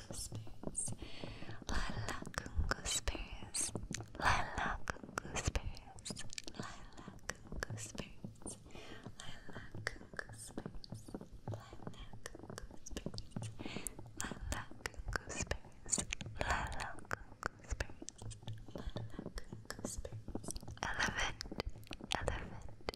gooseberries. Lala gooseberries. Lala gooseberries. Lala gooseberries. Lala gooseberries. Lala gooseberries. Lala gooseberries. Lala gooseberries. Lala gooseberries. Elephant. Elephant.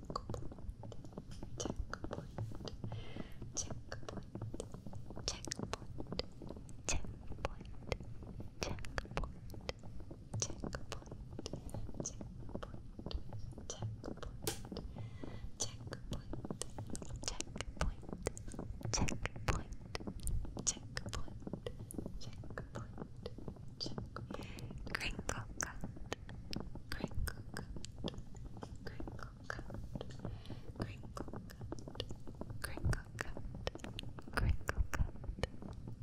checkpoint, checkpoint, checkpoint, checkpoint, checkpoint, checkpoint, checkpoint, checkpoint, checkpoint, checkpoint, checkpoint, checkpoint, checkpoint, crinkle cut, crinkle cut, crinkle cut, crinkle cut, crinkle cut, crinkle cut, crinkle cut,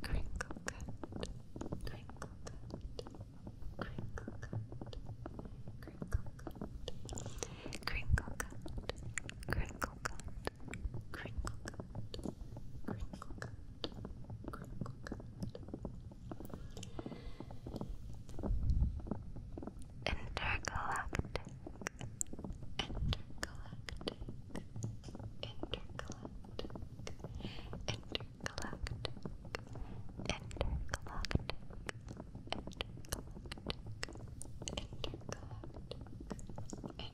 crinkle cut, crinkle cut, crinkle cut, crinkle cut, crinkle cut, crinkle cut, crinkle cut. Intergalactic. Intergalactic. Intergalactic. Intergalactic. Intergalactic. Intergalactic. Intergalactic.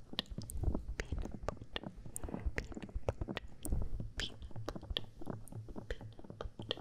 Dandelion, dandelion, dandelion, dandelion,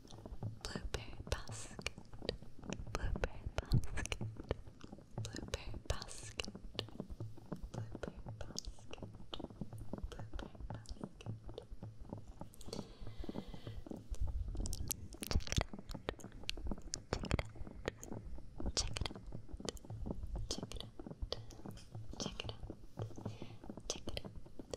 blueberry basket, blueberry basket, blueberry basket, blueberry basket, blueberry basket. Check it out. Check it out. Check it out. Check it out. Check it out. Check it out.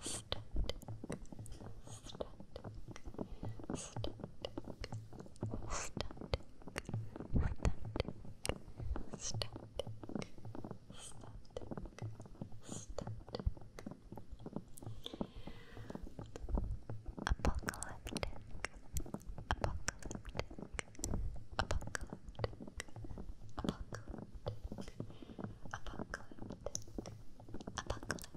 static, static, static, static, static, static, static, static. Apocalyptic, apocalyptic, apocalyptic, apocalyptic, apocalyptic, apocalyptic,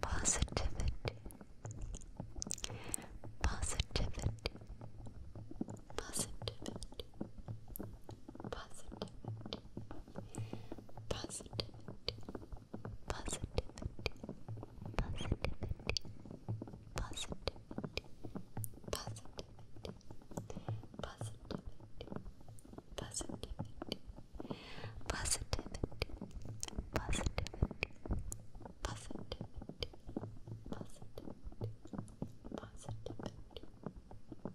Positivity. Positivity. Positivity. Positivity. Positivity, positivity, positivity, positivity, positivity, positivity, positivity, positivity, positivity, positivity, positivity, positivity. Positivity,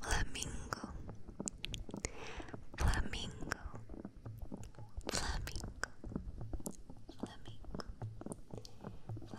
Flamingo, flamingo, flamingo, flamingo,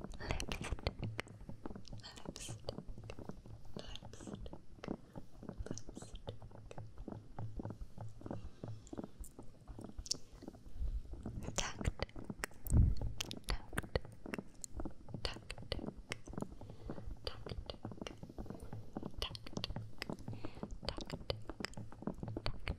Lipstick. Lipstick. Lipstick. Lipstick. Tactic. Tactic. Tactic. Tactic. Tactic. Tactic. Tactic.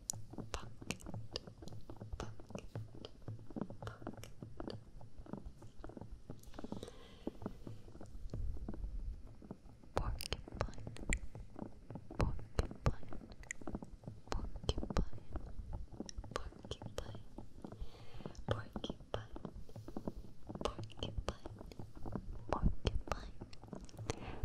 pocket, pocket, pocket. Porcupine, porcupine, porcupine, porcupine, porcupine, porcupine, porcupine,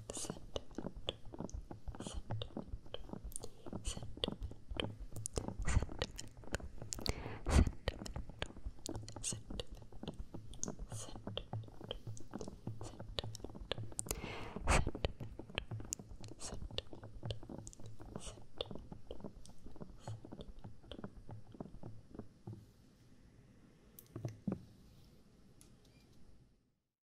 sentiment, sentiment, sentiment, sentiment, sentiment, sentiment, sentiment. Sentiment, sentiment, sentiment.